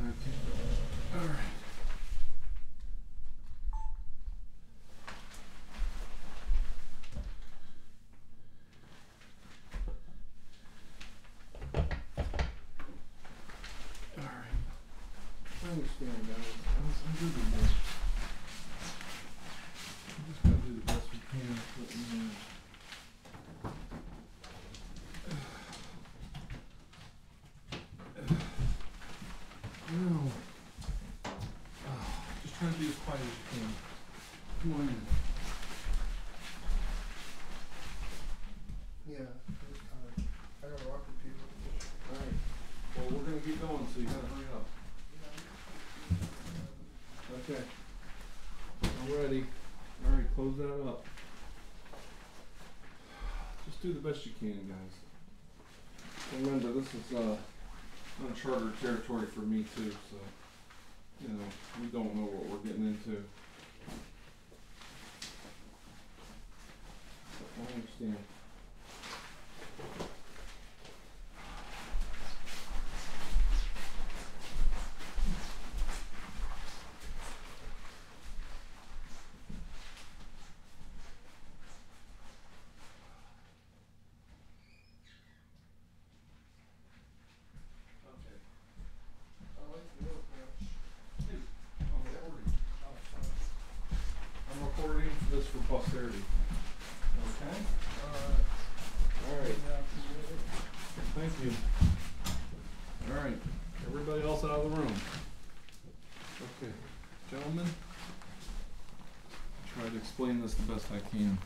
Okay. All right. All right. I understand, guys. I'm, I'm good with this just gotta do the best we can with what we have. No. just try to be as quiet as you can. Come on in. Yeah, I got I got rocket people. Alright. Well, we're gonna get going, so you gotta hurry up. Okay. I'm ready. All right, close that up. Just do the best you can, guys. Remember, this is uh, uncharted territory for me too, so you know we don't know what we're getting into. I understand. I'm recording this for posterity. Okay. All right. Thank you. All right. Everybody else out of the room. Okay. Gentlemen, I'll try to explain this the best I can.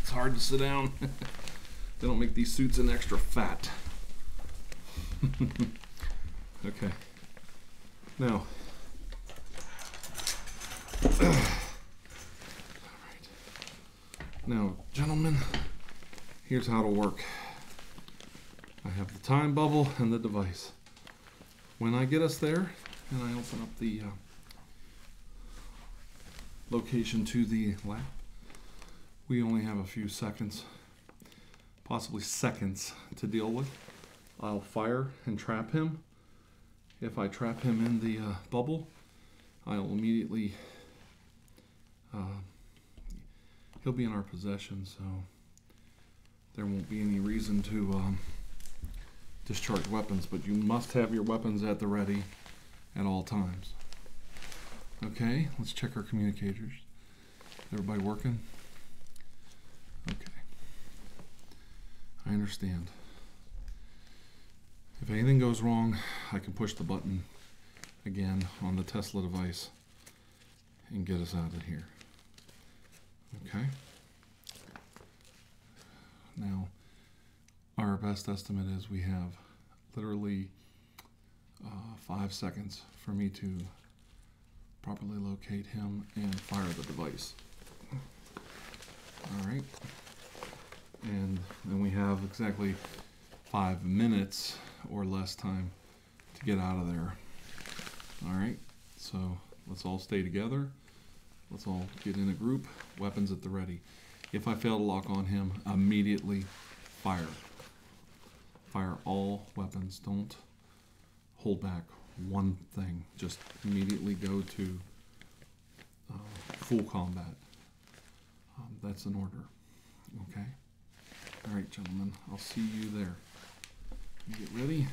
It's hard to sit down. they don't make these suits in extra fat. okay. Now, all right. Now, gentlemen, here's how it'll work. I have the time bubble and the device. When I get us there, and I open up the uh, location to the lab, we only have a few seconds possibly seconds to deal with. I'll fire and trap him. If I trap him in the uh, bubble, I'll immediately, uh, he'll be in our possession, so there won't be any reason to um, discharge weapons, but you must have your weapons at the ready at all times. Okay, let's check our communicators. Everybody working? Okay. I understand. If anything goes wrong, I can push the button again on the Tesla device and get us out of here. Okay. Now, our best estimate is we have literally uh, five seconds for me to properly locate him and fire the device. All right. And then we have exactly five minutes or less time to get out of there. All right. So let's all stay together. Let's all get in a group, weapons at the ready. If I fail to lock on him, immediately fire. Fire all weapons. Don't hold back one thing. Just immediately go to uh, full combat. Um, that's an order. Okay? All right, gentlemen. I'll see you there. get ready.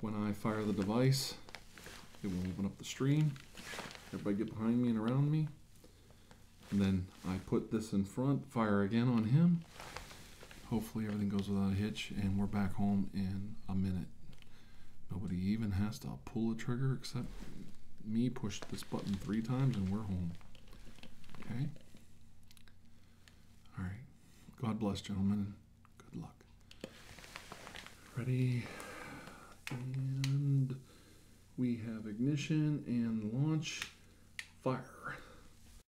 When I fire the device, it will open up the stream. Everybody get behind me and around me. And then I put this in front, fire again on him. Hopefully everything goes without a hitch and we're back home in a minute. Nobody even has to pull the trigger except me push this button three times and we're home. Okay? All right. God bless, gentlemen. Good luck. Ready? And we have ignition and launch. Fire.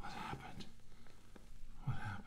What happened? What happened?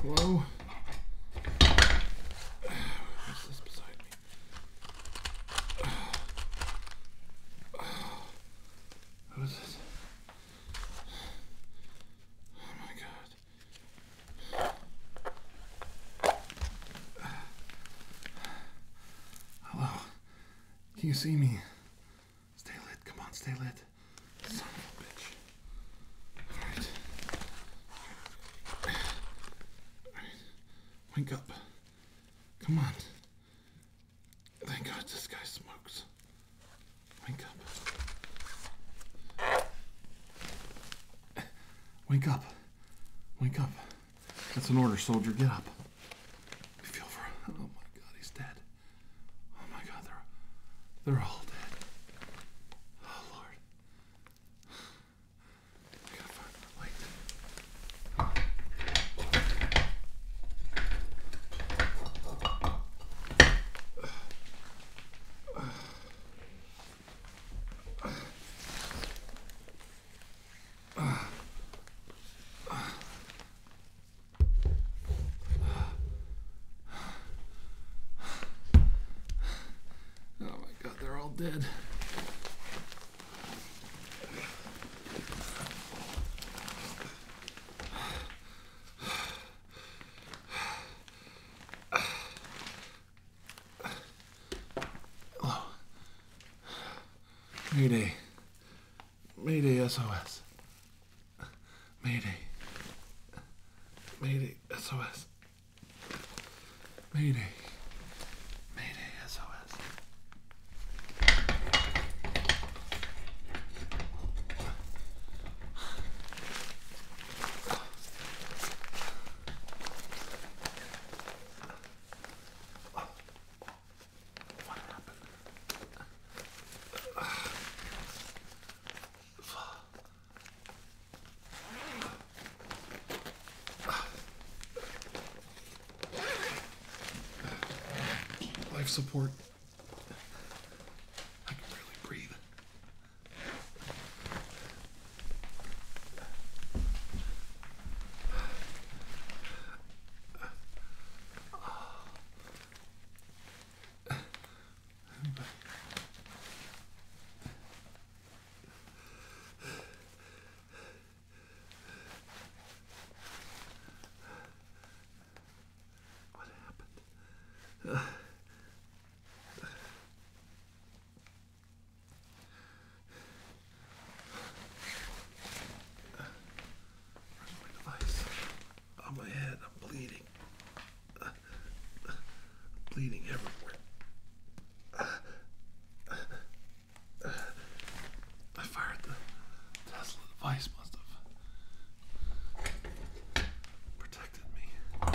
Hello? What's this beside me? What is this? Oh my god. Hello. Oh, can you see me? Stay lit. Come on, stay lit. Son of a bitch. Alright. Alright. Wake up. Come on. Thank God this guy smokes. Wake up. Wake up. Wake up. That's an order, soldier. Get up. Feel for. Oh my God, he's dead. Oh my God, they're they're all dead. Oh Lord. Oh my God! They're all dead. Hello. Oh. Mayday. Mayday SOS. Mayday. Mayday SOS. Mayday. Mayday SOS. Life support. I can barely breathe. What happened? Where's my device? On my head, I'm bleeding. bleeding everywhere. I fired the Tesla device, must have protected me.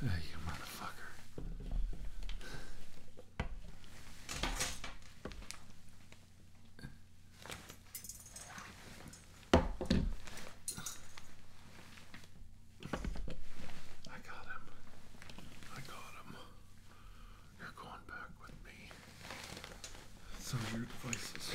Hey, you motherfucker. I got him. I got him. You're going back with me. So your devices.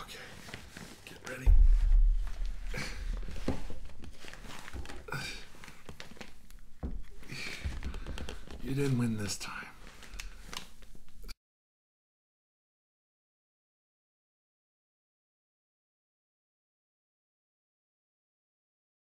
Okay, get ready. You didn't win this time.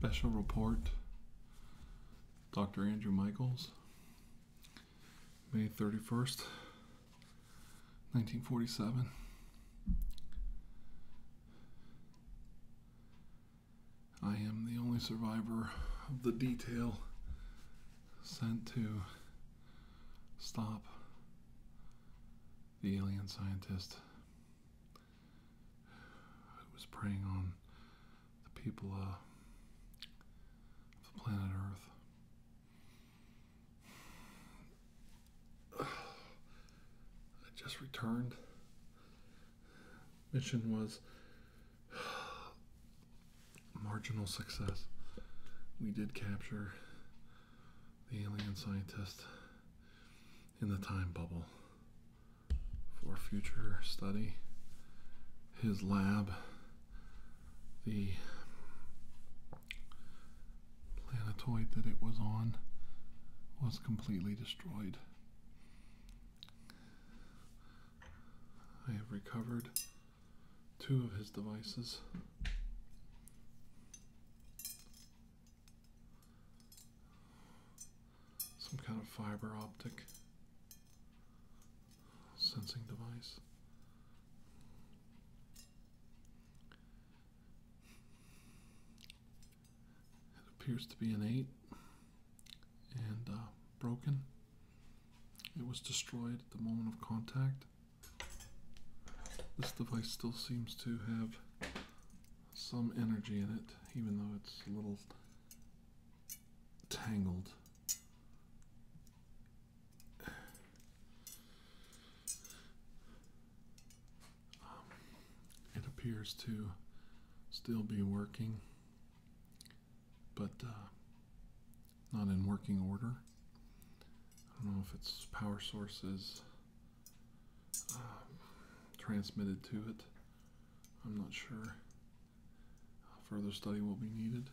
Special report, Dr. Andrew Michaels, May 31st, 1947. I am the only survivor of the detail sent to stop the alien scientist who was preying on the people uh, of the planet Earth. I just returned. Mission was marginal success. We did capture the alien scientist in the time bubble for future study. His lab, the planetoid that it was on was completely destroyed. I have recovered two of his devices. Some kind of fiber optic sensing device. It appears to be an 8 and uh, broken. It was destroyed at the moment of contact. This device still seems to have some energy in it, even though it's a little tangled um, it appears to still be working, but uh, not in working order. I don't know if its power source is um, transmitted to it. I'm not sure. Further study will be needed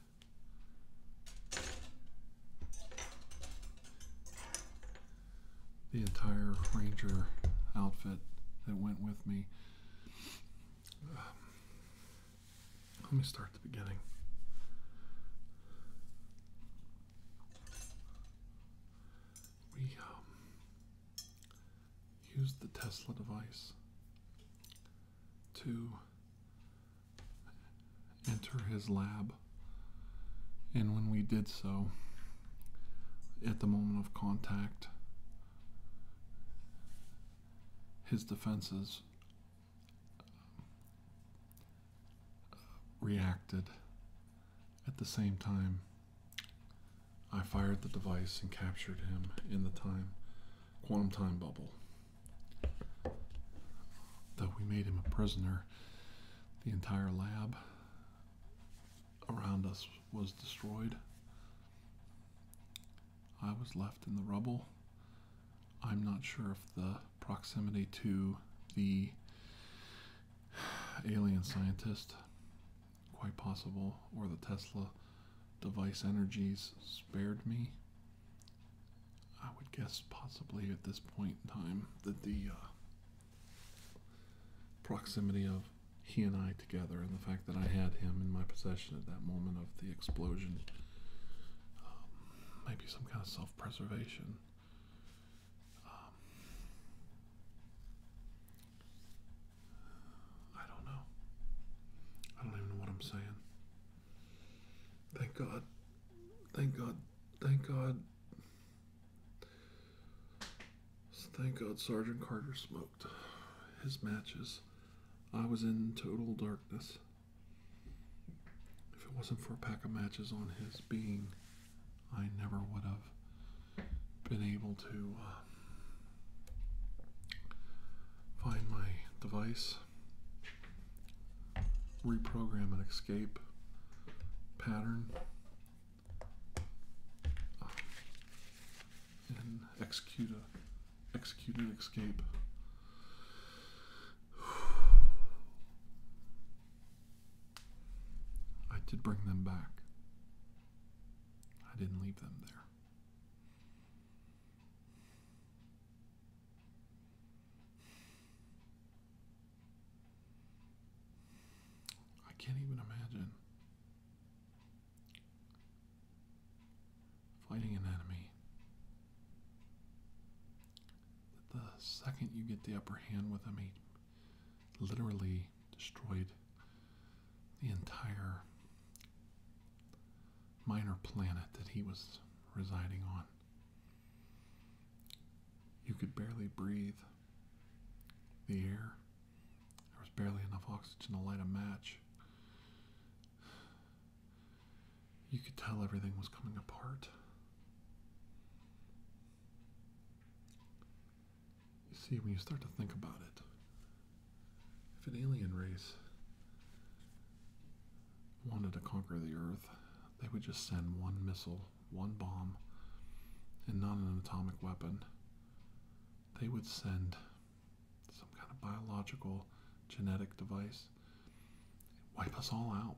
the entire ranger outfit that went with me. Um, let me start at the beginning. We um, used the Tesla device to enter his lab. And when we did so, at the moment of contact, his defenses uh, reacted. At the same time, I fired the device and captured him in the time quantum time bubble. Though we made him a prisoner, the entire lab around us was destroyed. I was left in the rubble. I'm not sure if the proximity to the alien scientist, quite possible, or the Tesla device energies spared me I would guess possibly at this point in time that the uh, proximity of he and I together and the fact that I had him in my possession at that moment of the explosion, um, maybe some kind of self preservation. Um, I don't know. I don't even know what I'm saying. Thank God. Thank God. Thank God. Thank God Sergeant Carter smoked his matches. I was in total darkness. If it wasn't for a pack of matches on his being, I never would have been able to uh, find my device reprogram an escape pattern uh, and execute execute an escape. I did bring them back. I didn't leave them there. I can't even imagine fighting an enemy that the second you get the upper hand with him, he literally destroyed the entire minor planet that he was residing on. You could barely breathe the air. There was barely enough oxygen to light a match. You could tell everything was coming apart. You see, when you start to think about it, if an alien race wanted to conquer the earth, they would just send one missile, one bomb, and not an atomic weapon. They would send some kind of biological genetic device, wipe us all out.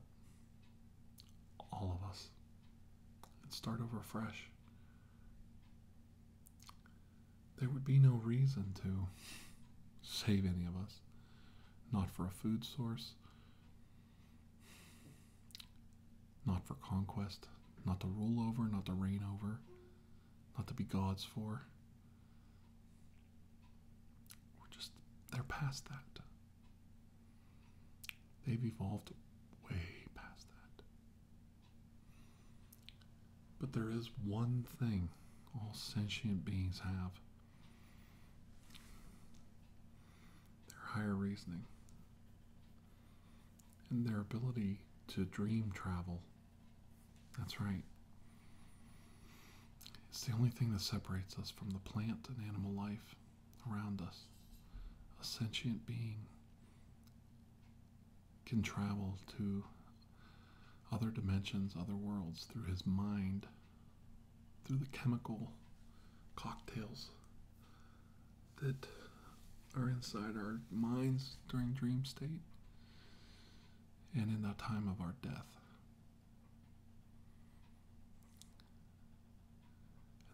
All of us. And start over fresh. There would be no reason to save any of us not for a food source, not for conquest, not to rule over, not to reign over, not to be gods for. We're just, they're past that. They've evolved way past that. But there is one thing all sentient beings have their higher reasoning and their ability to dream travel. That's right. It's the only thing that separates us from the plant and animal life around us. A sentient being can travel to other dimensions, other worlds through his mind through the chemical cocktails that are inside our minds during dream state and in that time of our death.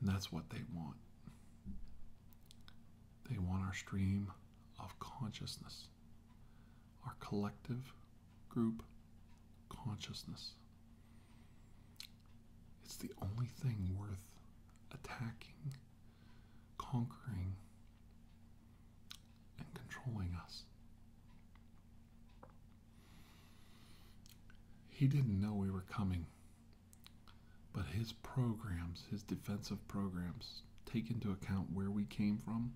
And that's what they want. They want our stream of consciousness, our collective group consciousness. It's the only thing worth attacking, conquering, and controlling us. He didn't know we were coming, but his programs, his defensive programs, take into account where we came from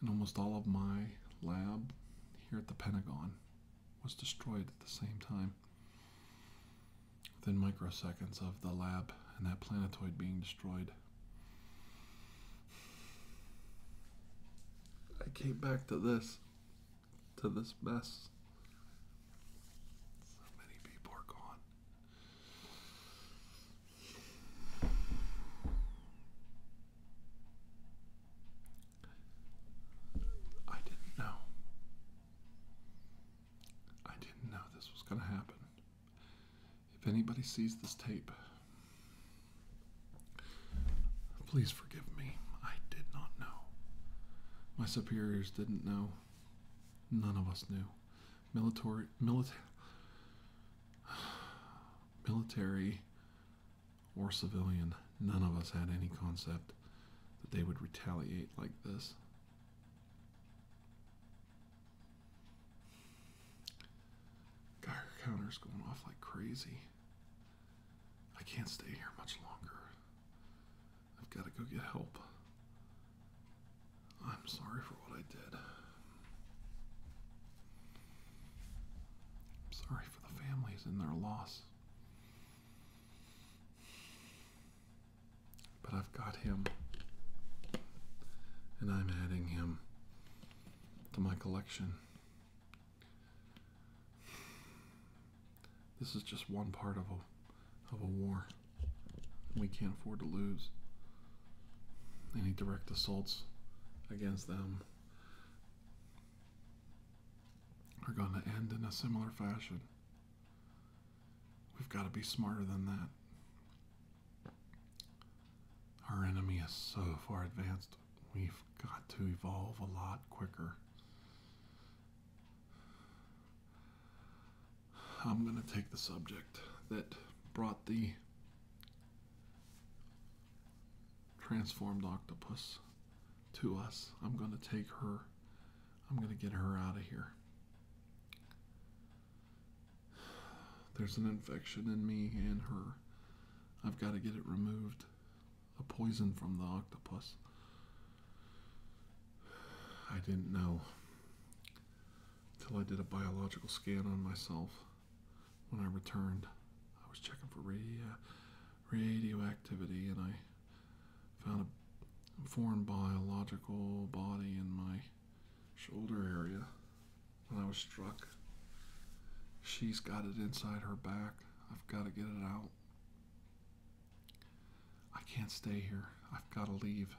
and almost all of my lab here at the Pentagon was destroyed at the same time. Within microseconds of the lab and that planetoid being destroyed. I came back to this, to this mess. So many people are gone. I didn't know. I didn't know this was going to happen. If anybody sees this tape, please forgive me. I did not know. My superiors didn't know. None of us knew. Military, military. military or civilian, none of us had any concept that they would retaliate like this. Geiger counter's going off like crazy. I can't stay here much longer. I've got to go get help. I'm sorry for what I did. I'm sorry for the families and their loss. But I've got him, and I'm adding him to my collection. This is just one part of a of a war we can't afford to lose any direct assaults against them are going to end in a similar fashion. We've got to be smarter than that. Our enemy is so far advanced, we've got to evolve a lot quicker. I'm going to take the subject that brought the transformed octopus to us. I'm going to take her. I'm going to get her out of here. There's an infection in me and her. I've got to get it removed. A poison from the octopus. I didn't know till I did a biological scan on myself when I returned. I was checking for uh, radioactivity and I found a foreign biological body in my shoulder area. When I was struck. She's got it inside her back. I've got to get it out. I can't stay here. I've got to leave.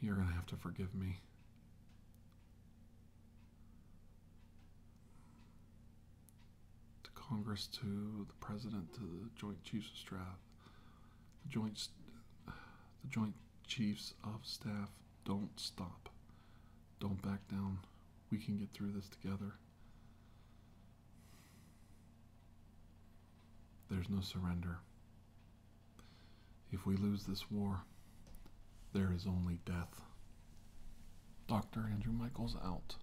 You're going to have to forgive me. To Congress, to the President, to the Joint Chiefs of Staff, the Joint, the Joint Chiefs of Staff, don't stop. Don't back down. We can get through this together. There's no surrender. If we lose this war, there is only death. Dr. Andrew Michaels out.